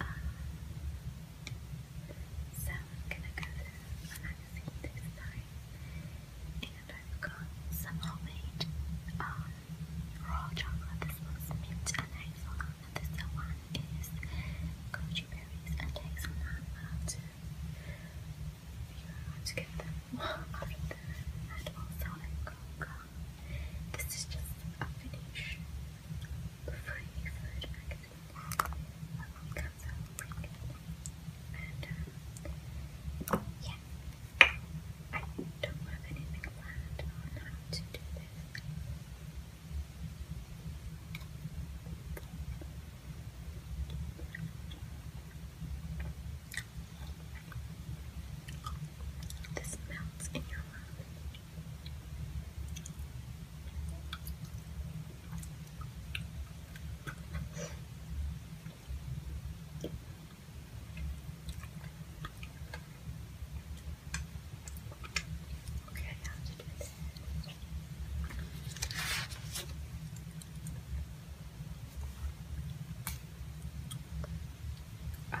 Um, so I'm gonna go through a magazine this and I've got some homemade um, raw chocolate. This one's mint and hazelnut, and this one is goji berries and hazelnut. I'll to figure them off of them, and also cocoa. This is just a finish for a food magazine that only comes out pretty good. And uh, yeah, I don't have anything planned on how to do this. This melts in your mouth. Okay, I to do this. Um,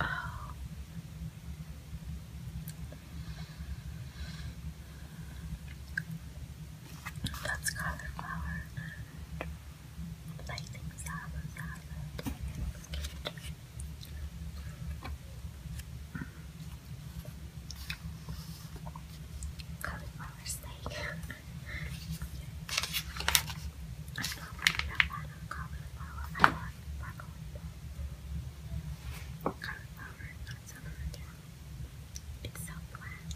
Oh. That's cauliflower and salad cauliflower steak. I'm not really that bad cauliflower. I like broccoli, cauliflower is not so good. It's so flat.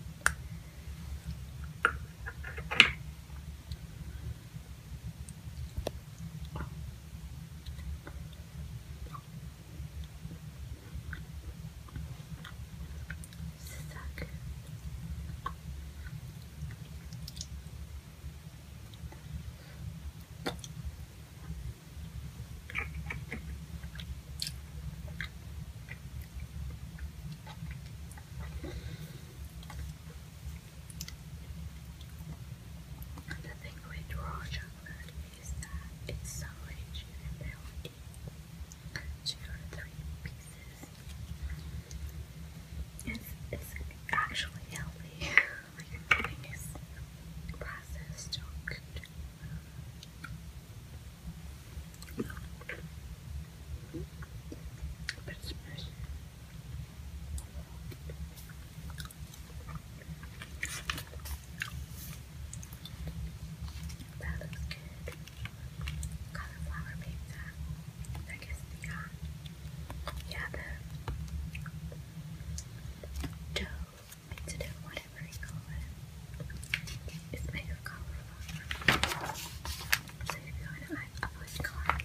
Suck. The thing raw chocolate it's so rich in melody. Two or three pieces. It's, it's actually healthy. like everything is processed or cooked. But that yeah the dough, pizza dough, you call it. It's made of cauliflower. So if you want to add a bunch of cauliflower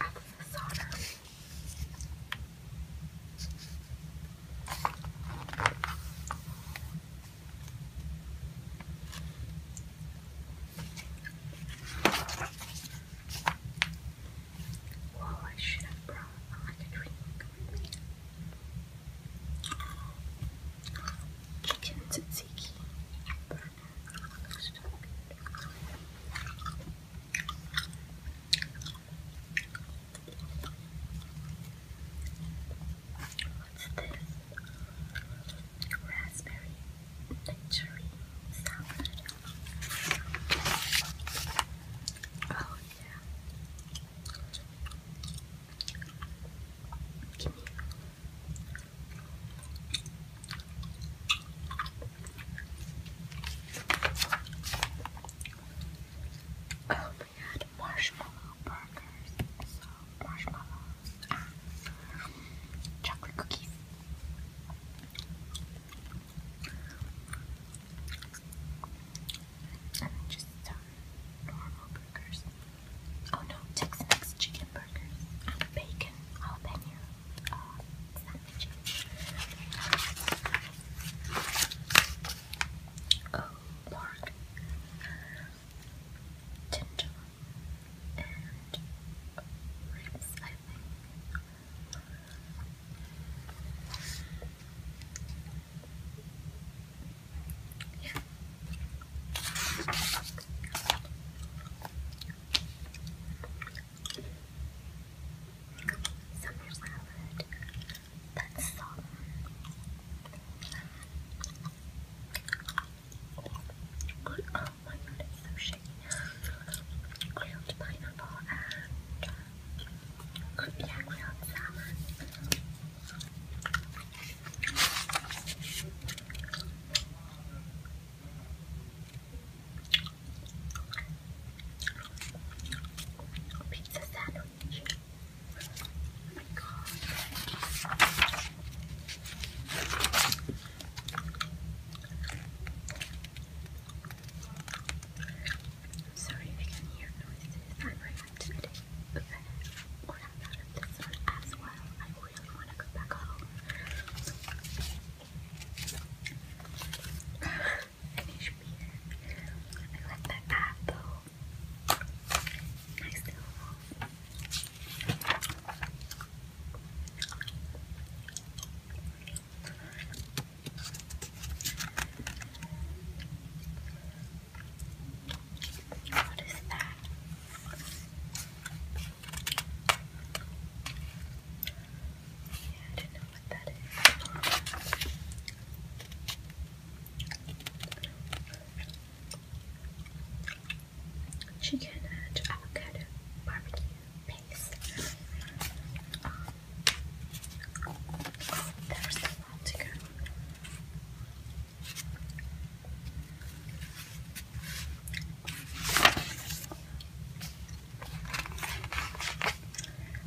out I should have brought like a drink. Kitchen tzatziki, What's this? Raspberry cherry salad. Oh yeah. Give me Oh, we had marshmallow burgers, so marshmallows and chocolate cookies. And just some normal burgers. Oh no, Tex Mex chicken burgers and bacon jalapeno sandwich. Oh, pork, ginger, and ribs, Yeah. Summer salad. That's summer. Oh, oh my god, so shaky. Grilled pineapple and uh, yeah, grilled Pizza sandwich. Oh my god. sorry if you can hear noises. I'm very active today. Okay. Or i as well. I really want to go back home. Finish beer. I like that ad I still what is that? Chicken and avocado barbecue paste. oh, there's a lot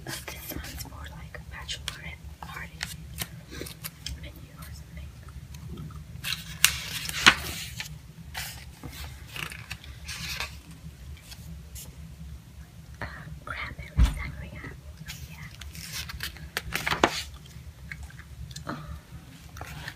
but this one's more like a bachelorette party menu or something. cranberry sangria, yeah.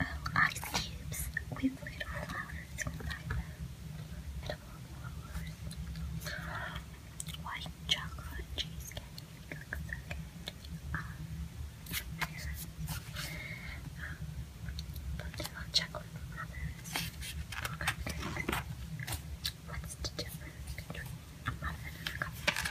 Oh, ice cubes with little flowers inside them. Edible flowers. White chocolate cheesecake looks um, chocolate What's the difference a mother and a cupcake?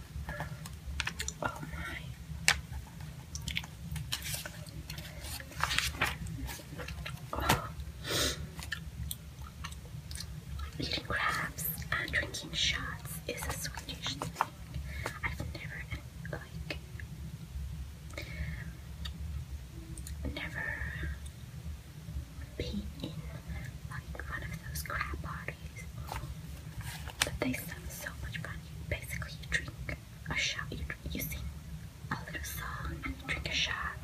Oh my. Eating crabs and drinking shots is a Swedish thing. I've never like never been in like one of those crab parties. But they sound so much money. Basically, you drink a shot, you, you sing a little song and you drink a shot.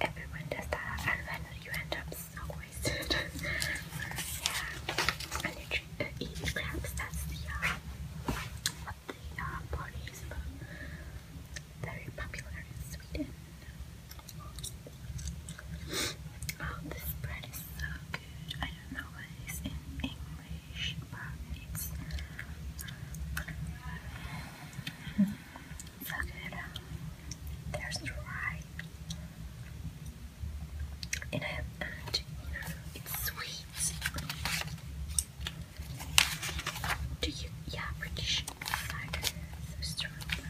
Everyone does that, and then you end up so wasted. yeah, and you eat uh, crabs. That's the party um, is uh, very popular in Sweden. Oh, this bread is so good. I don't know what it is in English, but it's so good. There's rye. And, it's sweet. Do you? Yeah, British cider, so strong.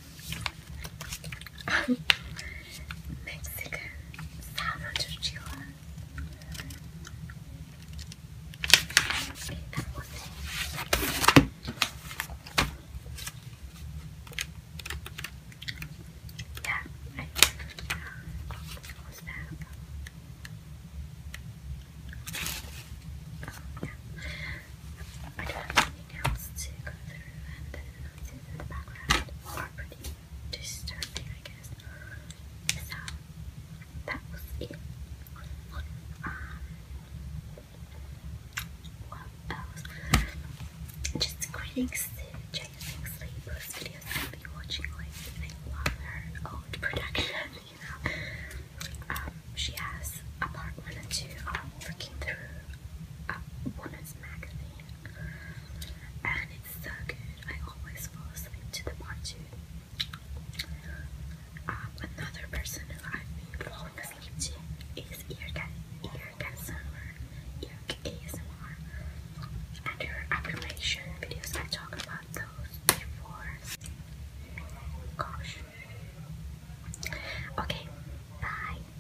Mexican salmon tortilla. Yeah, I think it was that. yeah. I don't have anything else to go through noises in the background are pretty disturbing, I guess. So that was it. Um, what else? Just greetings to Jason videos I've watching lately. I old production, you know. Um, she has a two looking um, through a uh, woman's magazine and it's so good. I always fall asleep to the part um, another person who I've been falling asleep to is Earcat ASMR, ASMR, and her affirmation videos. I talk about those before. Gosh. Okay, bye.